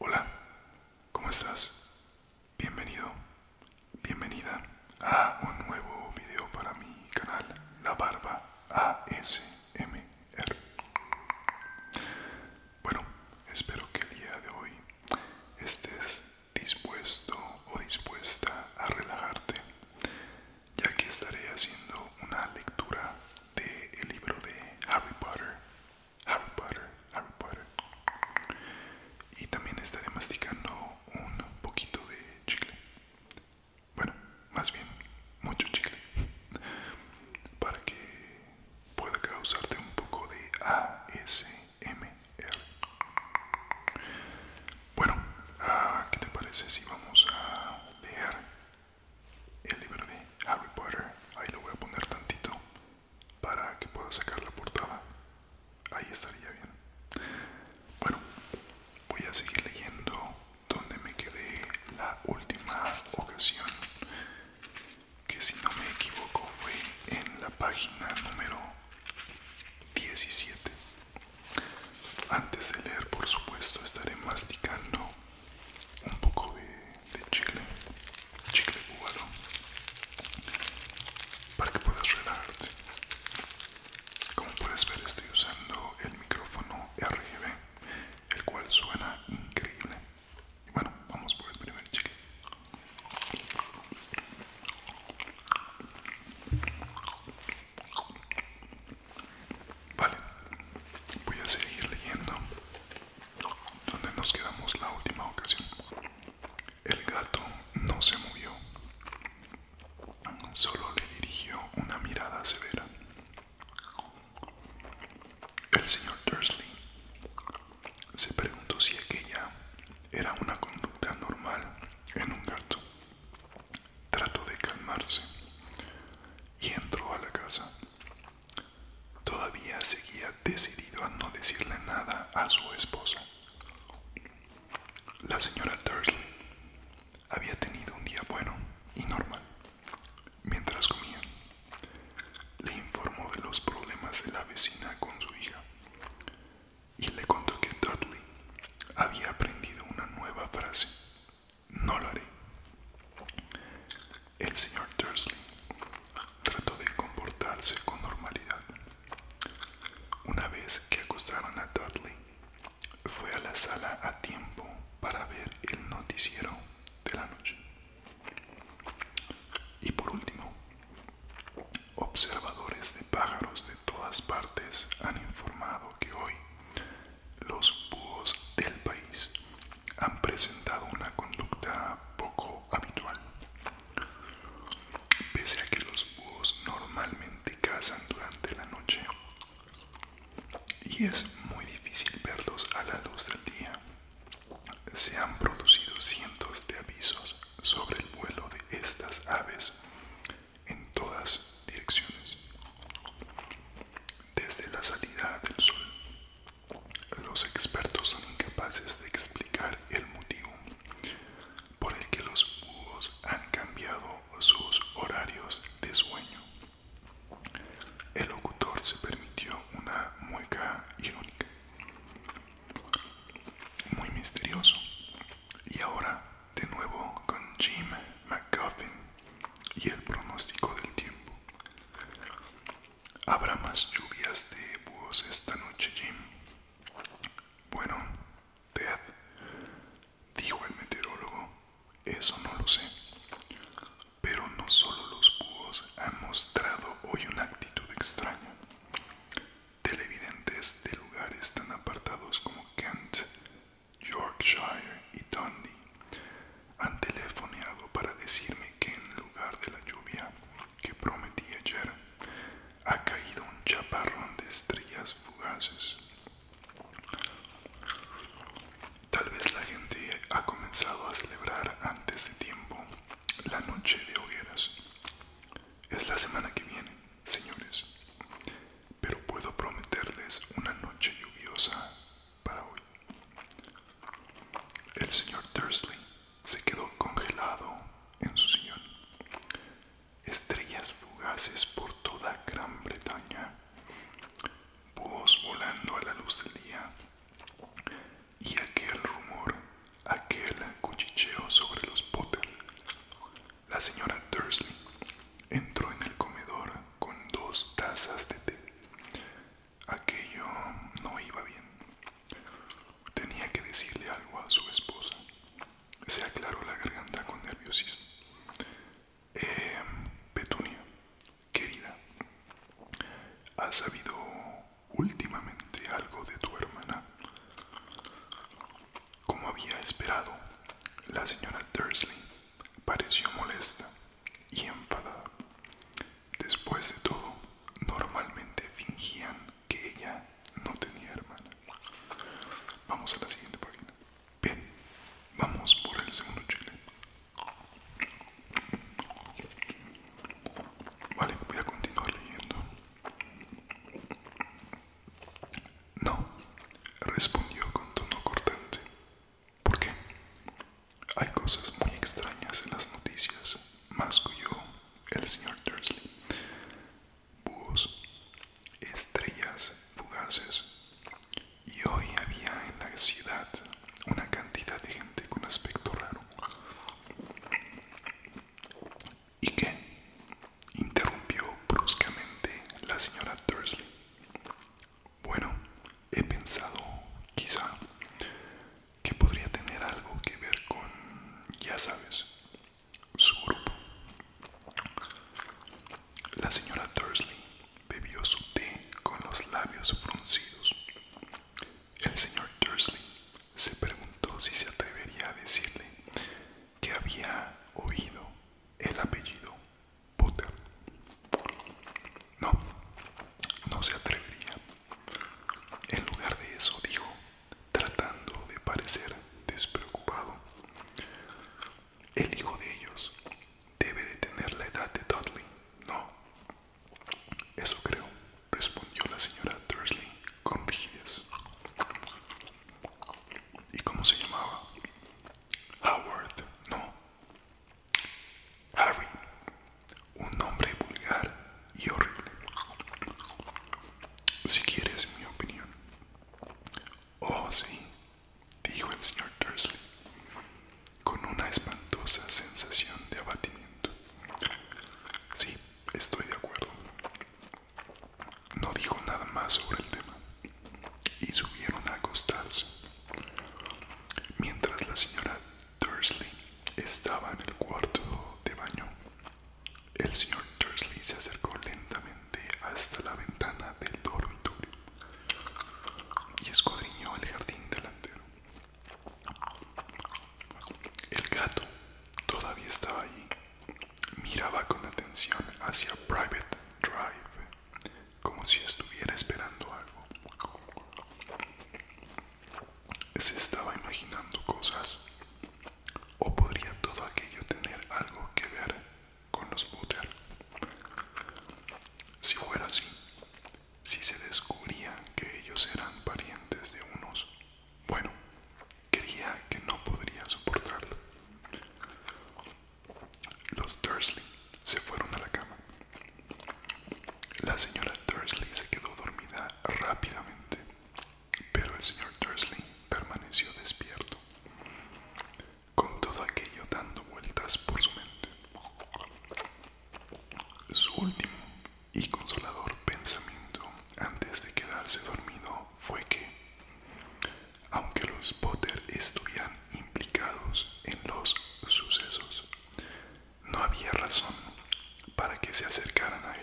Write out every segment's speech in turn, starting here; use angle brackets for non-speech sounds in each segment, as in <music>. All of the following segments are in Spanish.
Hola, ¿cómo estás? Bienvenido, bienvenida a un nuevo video para mi canal La Barba ASMR. Bueno, espero que el día de hoy estés dispuesto o dispuesta a relajarte, ya que estaré haciendo una lectura del el libro de Harry Potter. Harry Potter, Harry Potter. Y también estaré masticando un poquito de chicle bueno más bien mucho chicle <laughs> para que pueda causarte un poco de ASMR bueno ah, qué te parece si vamos a leer el libro de Harry Potter ahí lo voy a poner tantito para que pueda sacar la portada. Ahí estaría bien. Bueno, voy a seguir leyendo donde me quedé la última ocasión, que si no me equivoco fue en la página número 17. Antes de leer, por supuesto, estaré masticando un poco de, de chicle, chicle para que puedas relajarte. Como puedes ver estoy usando el micrófono RGB, el cual suena increíble. Y bueno, vamos por el primer chicle. Vale, voy a seguir leyendo donde nos quedamos la última ocasión. El gato no se movió, solo le dirigió una mirada severa. El señor Dursley se preguntó si aquella era una conducta normal en un gato. Trató de calmarse y entró a la casa. Todavía seguía decidido a no decirle nada a su esposa. La señora Dursley había tenido un día bueno y normal. Mientras comía, le informó de los problemas de la vecina con su hija y le contó que Dudley había aprendido una nueva frase. No lo haré. El señor Dursley trató de comportarse con normalidad. Una vez que acostaron a Dudley, fue a la sala a tiempo para ver el noticiero de la noche. Y por último, observadores de pájaros de todas partes han informado que hoy los búhos del país han presentado una conducta poco habitual. Pese a que los búhos normalmente cazan durante la noche y es muy difícil verlos a la luz del día, se han producido cientos de avisos sobre el vuelo de estas aves en todas direcciones. Desde la salida del sol los expertos son incapaces de explicar el motivo por el que los búhos han cambiado sus horarios de sueño. El locutor se permitió una mueca irónica. Muy misterioso. Y ahora, de nuevo, con Jim McGuffin y el pronóstico del tiempo. Habrá más lluvias de búhos esta noche, Jim. Bueno, Ted, dijo el meteorólogo, eso no lo sé. Pero no solo los búhos han mostrado hoy una actitud extraña. Televidentes de lugares tan apartados como Kent, Yorkshire y Dundee han telefoneado para decirme que en lugar de la lluvia que prometí ayer, ha caído un chaparrón de estrellas fugaces. Tal vez la gente ha comenzado a celebrar antes de tiempo la noche de hogueras. Es la semana que viene, señores, pero puedo prometerles una noche lluviosa para hoy. El señor Dursley se quedó congelado en su sillón. Estrellas fugaces por toda Gran Bretaña, búhos volando a la luz del día, y aquel rumor, aquel cuchicheo sobre los Potter. La señora Dursley entró en el comedor con dos tazas de té Aquello no iba bien. Tenía que decirle algo a su esposa. Se aclaró la garganta con nerviosismo. Eh, Petunia, querida, ¿has sabido últimamente algo de tu hermana? Como había esperado, la señora Dursley pareció molesta y enfadada. Después de todo, normalmente fingían que ella no tenía hermana. Vamos a la siguiente página. Bien, vamos por el segundo chile. Vale, voy a continuar leyendo. No, respondió con tono cortante. ¿Por qué? Hay cosas muy extrañas en las noticias, masculló el señor Dursley. Búhos, estrellas fugaces. Y hoy había en la ciudad una cantidad de gente con aspecto raro. ¿Y qué? interrumpió bruscamente la señora Dursley. Bueno, he pensado, quizá, que podría tener algo que ver con, ya sabes, su grupo. La señora Dursley bebió su té con los labios fruncidos. El señor Dursley se preguntó si se atrevería a decirle que había oído el apellido Potter. No, no se atrevería. En lugar de eso dijo, tratando de parecer despreocupado, el hijo de ellos debe de tener la edad de Dudley, ¿no? Eso creo, respondió la señora Dursley con rigidez. ¿Y cómo se llamaba? Howard, no. Harry, un nombre vulgar y horrible. Si quieres mi opinión. Oh, sí, dijo el señor Dursley, con una espantosa sensación de abatimiento. Sí, estoy de acuerdo. No dijo nada más sobre el tema y subieron a acostarse. Mientras la señora Dursley estaba en el cuarto de baño. El señor Dursley se acercó lentamente hasta la ventana del dormitorio y escudriñó el jardín delantero. El gato todavía estaba allí. Miraba con atención hacia Private Drive como si estuviera esperando algo se estaba imaginando cosas o podría todo aquello tener algo que ver con los Butter. Si fuera así, si se descubría que ellos eran parientes de unos, bueno, creía que no podría soportarlo. Los Dursley se fueron a la cama. La señora Dursley se quedó dormida rápidamente, pero el señor Dursley permaneció despierto, con todo aquello dando vueltas por su mente. Su último y consolador pensamiento antes de quedarse dormido fue que, aunque los Potter estuvieran implicados en los sucesos, no había razón para que se acercaran a él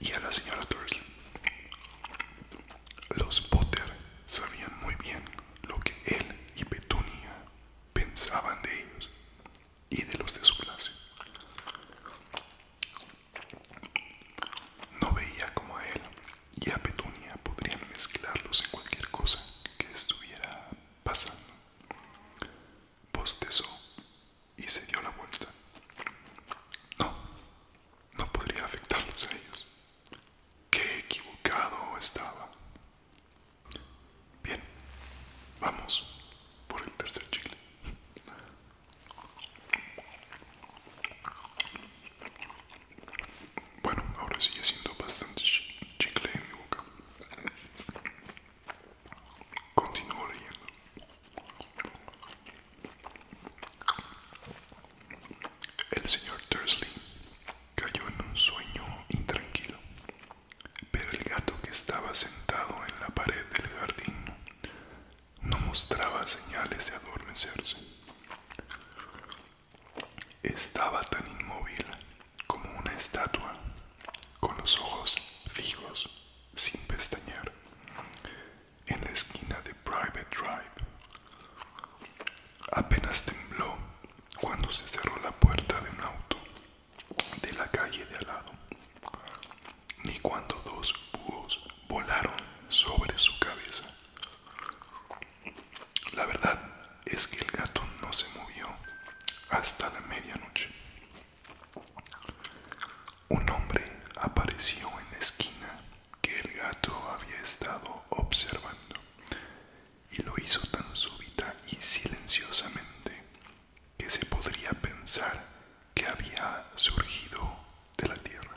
y a la señora torres Los Potter sabían muy bien lo que él y Petunia pensaban de ellos y de los de su clase. No veía como a él y a Petunia podrían mezclarlos en cualquier cosa que estuviera pasando. Bostezó pues y se dio la vuelta. No, no podría afectarlos a ellos. Qué equivocado estaba. Bien, vamos por el tercer chile bueno, ahora sigue siendo bastante chicle en mi boca. Continúo leyendo. El señor Tursley cayó en un sueño intranquilo, pero el gato que estaba sentado en la pared del jardín no mostraba señales de adormecerse. Estaba tan inmóvil como una estatua, con los ojos fijos, sin pestañear, en la esquina de Private Drive. Apenas tembló cuando se cerró la puerta de un auto de la calle de al lado, ni cuando dos búhos volaron sobre su cabeza. La verdad es que el gato no se movió hasta la medianoche. Un hombre apareció en la esquina que el gato había estado observando y lo hizo tan súbita y silenciosamente que se podría pensar que había surgido de la tierra.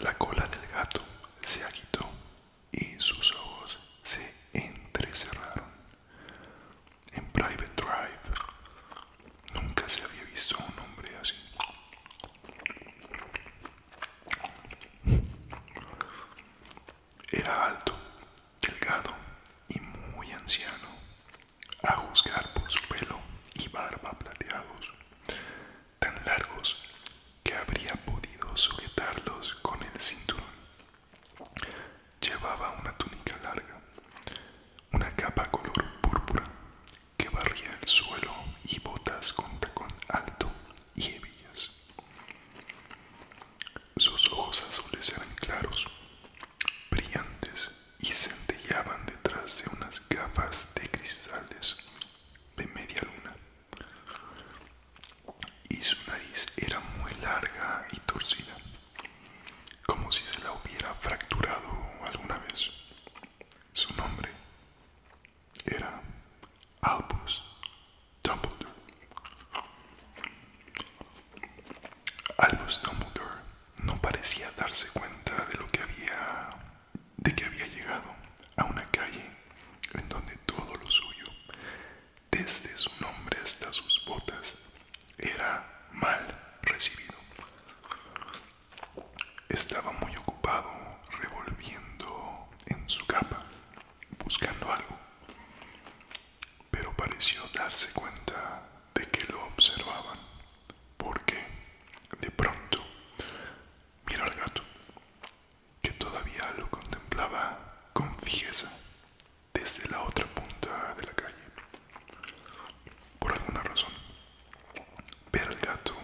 La cola del gato se agitó y sus ojos se entrecerraron. En Private Drive nunca se había visto un hombre así. Era alto, delgado y muy anciano, a juzgar por su pelo y barba plateados tan largos que habría podido sujetarlos con el cinturón. Llevaba una túnica larga, una capa color púrpura que barría el suelo y botas con tacón alto y hebillas. Sus ojos azules eran claros, brillantes y centellaban detrás de unas gafas de cristales de media luna y su nariz era muy larga y torcida, como si se la hubiera fracturado alguna vez. Su nombre era Albus Dumbledore. Albus Dumbledore no parecía darse cuenta de lo que había de que había llegado a una calle en donde todo lo suyo, desde su nombre hasta sus botas, era mal recibido. Estaba muy ocupado revolviendo en su capa, buscando algo, pero pareció darse cuenta de que lo observaban, porque de pronto miró al gato, que todavía lo contemplaba con fijeza desde la otra punta de la calle. Por alguna razón, ver al gato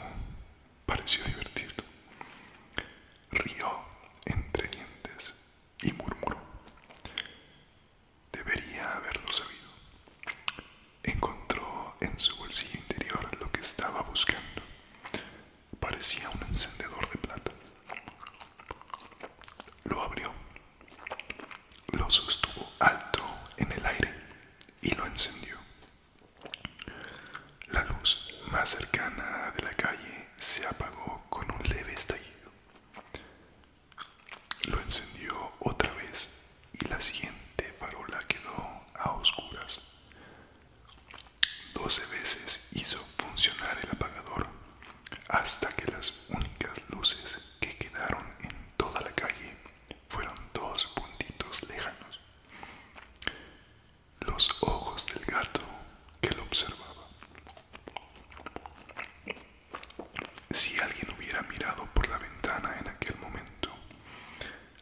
pareció divertirlo. Rió entre dientes y murmuró. Debería haberlo sabido. Encontró en su bolsillo interior lo que estaba buscando. Parecía un encendedor de plata. Lo abrió, lo sostuvo alto en el aire y lo encendió. La luz más cercana de la calle se apagó con un leve estallido. Lo encendió otra vez y la siguiente farola quedó a oscuras. Doce veces hizo funcionar el apagador hasta que las únicas luces que quedaron en toda la calle fueron dos puntitos lejanos. Los ojos del gato que lo observaba. Si alguien hubiera mirado por la ventana en aquel momento,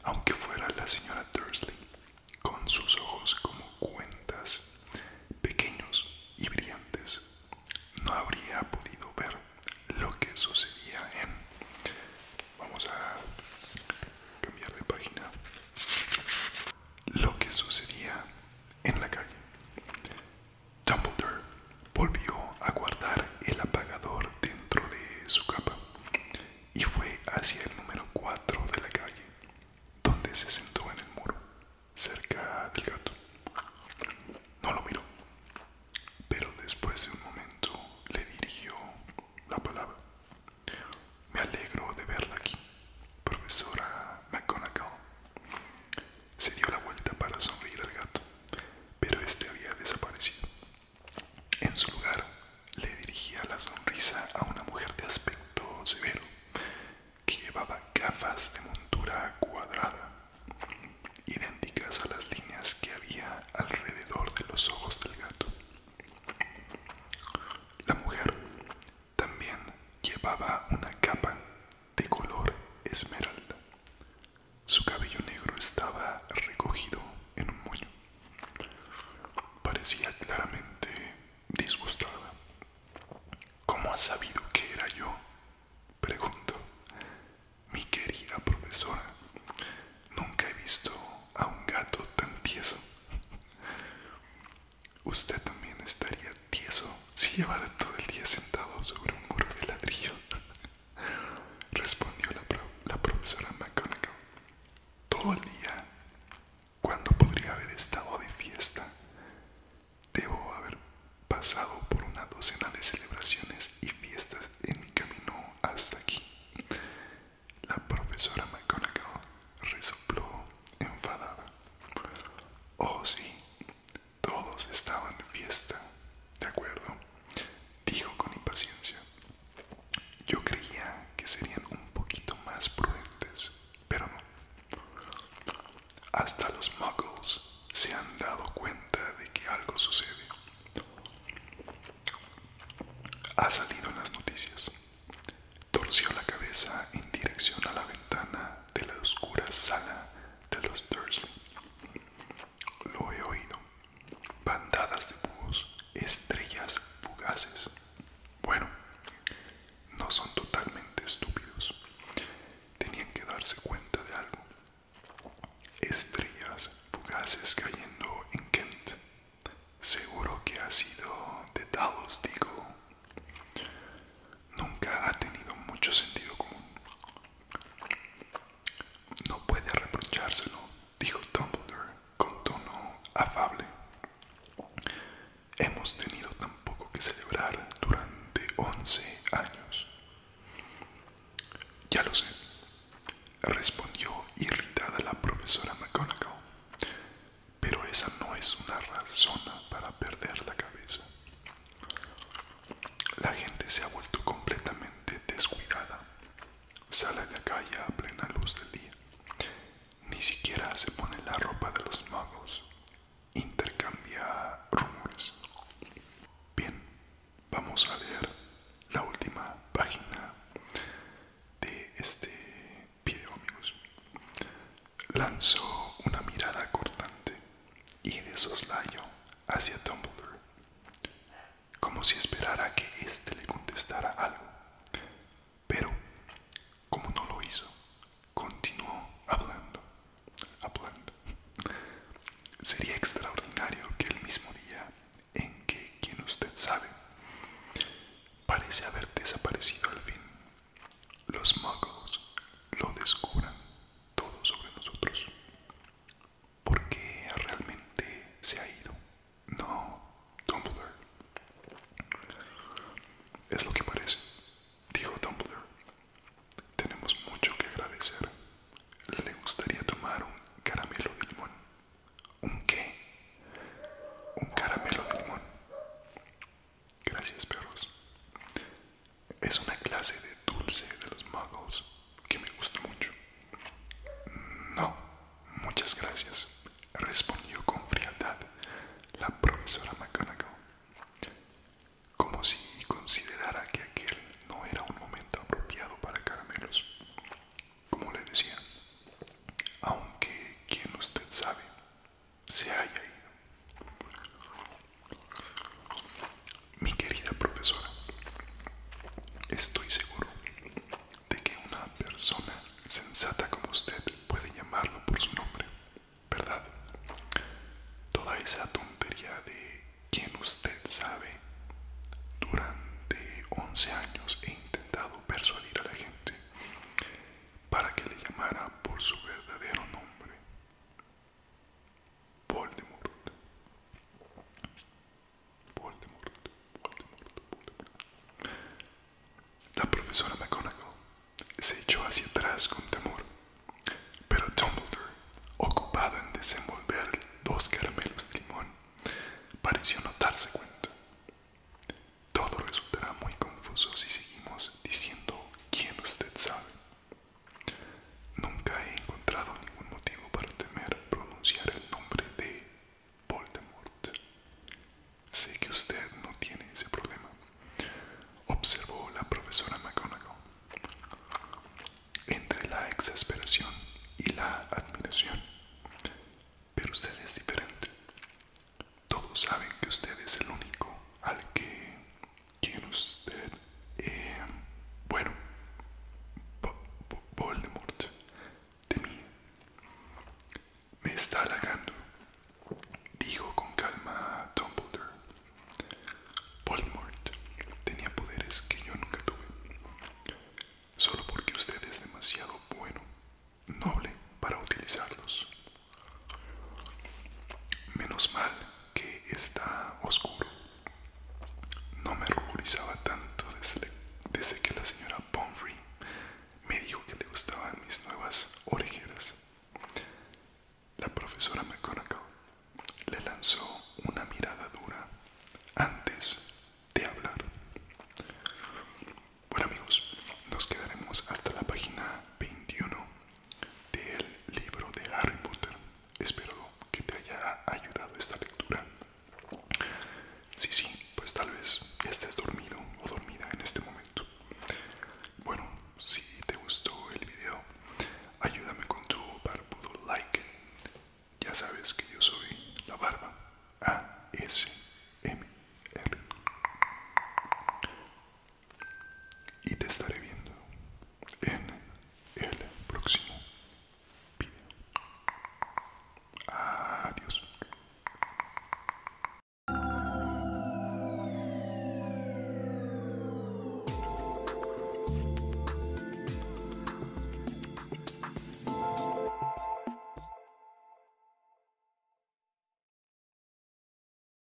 aunque fuera la señora Dursley, con sus ojos como cuentas, pequeños y brillantes, no habría podido ver lo que sucedía en... Vamos a cambiar de página. Lo que sucedía en la calle. Dumbledore Volvió a guardar el apagador dentro de su capa y fue hacia el número 4 de la calle, donde se sentó en el muro, cerca del gato. No lo miró, pero después de un momento le dirigió la palabra. Me alegro de verla aquí, profesora McConaughey. Se dio la vuelta para sonreír al gato, pero este había desaparecido. En su lugar, le dirigía la sonrisa a una mujer de aspecto severo, que llevaba gafas de montura cuadrada, idénticas a las líneas que había alrededor de los ojos del gato. La mujer también llevaba una capa de color esmeralda su cabello negro estaba recogido en un moño. Parecía claramente disgustada. ¿Cómo ha sabido que era yo? Pregunto. Mi querida profesora, nunca he visto a un gato tan tieso. Usted también estaría tieso si llevara todo el día sentado sobre un muro de ladrillo respondió la, profesora McConaughey. Todo el día. cuando podría haber estado de fiesta? Debo haber pasado por una docena de celebraciones y fiestas en mi camino hasta aquí. La profesora McConaughey resopló enfadada. Oh sí, todos estaban en fiesta, ¿de acuerdo? Dijo con impaciencia. Yo creía que serían un poquito más prudentes, pero no. Hasta los muggles se han dado cuenta de que algo sucede. Ha salido en las noticias. Torció la cabeza en dirección a la ventana de la oscura sala de los Dursley. Lo he oído. Bandadas de búhos, estrellas fugaces. Bueno, no son totalmente estúpidos. Tenían que darse cuenta de algo. Estrellas fugaces cayendo en Kent. Seguro que ha sido de Dawes, digo. Nunca ha tenido mucho sentido común. No puede reprochárselo, dijo Dumbledore con tono afable. Hemos tenido tampoco que celebrar durante once años. Ya lo sé, respondió irritada la profesora McGonagall, pero esa no es una razón para perder la cabeza. La gente se ha vuelto completamente descuidada. Sale de calle a plena luz del día. Ni siquiera se pone la ropa de los magos. Intercambia rumores. Bien, vamos a ver la última página de este video, amigos. Lanzó una mirada cortante y de soslayo hacia Dumbledore, como si esperara que éste le contestara algo. Pero, como no lo hizo, continuó hablando, hablando. Sería extraordinario que el mismo día en que quien usted sabe parece haber desaparecido al fin, los muggles lo descubran todo sobre nosotros porque realmente se ha ido. No, Dumbledore. Es lo que parece, dijo Tumbler. Tenemos mucho que agradecer. Le gustaría tomar un caramelo de limón. ¿Un qué? Un caramelo de limón. Gracias, perros. Es una clase de dulce de los muggles que me gusta mucho. No, muchas gracias, respondió con frialdad la profesora McGonagall, como si considerara que aquel no era un momento apropiado para caramelos. Como le decía, aunque quien usted sabe se haya ido. Mi querida profesora, estoy seguro de que una persona sensata como usted puede llamarlo por su nombre, ¿verdad? Toda esa tontería de quien usted sabe, durante 11 años he intentado persuadir a la gente para que le llamara por su verdadero nombre. La profesora McGonagall se echó hacia atrás con temor, pero Dumbledore, ocupado en desenvolver dos caramelos de limón, pareció no darse cuenta. Todo resultará muy confuso si seguimos diciendo quién usted sabe. Nunca he encontrado ningún motivo para temer pronunciar el nombre de Voldemort. Sé que usted no tiene ese problema, observó la profesora McGonagall. Entre la exasperación y la admiración. Pero usted es diferente. Todos saben que usted es el único al que ¿Quién usted? Em, bueno, Voldemort de mí. Me está halagando, dijo con calma Dumbledore. Voldemort tenía poderes que yo nunca tuve. Solo porque usted es demasiado bueno, noble para utilizarlos. Menos mal que está oscuro. No me ruborizaba tanto desde, que la señora Pomfrey me dijo que le gustaban mis nuevas orejeras. La profesora McGonagall le lanzó una mirada dura antes de hablar. Bueno amigos, nos quedaremos hasta la página 21 del libro de Harry Potter. Espero que te haya ayudado esta lectura. Sí, sí, pues tal vez estés dormido o dormida en este momento. Bueno, si te gustó el video, ayúdame con tu barbudo like. Ya sabes que yo soy la barba ASMR y te estaré viendo en el próximo video. Adiós.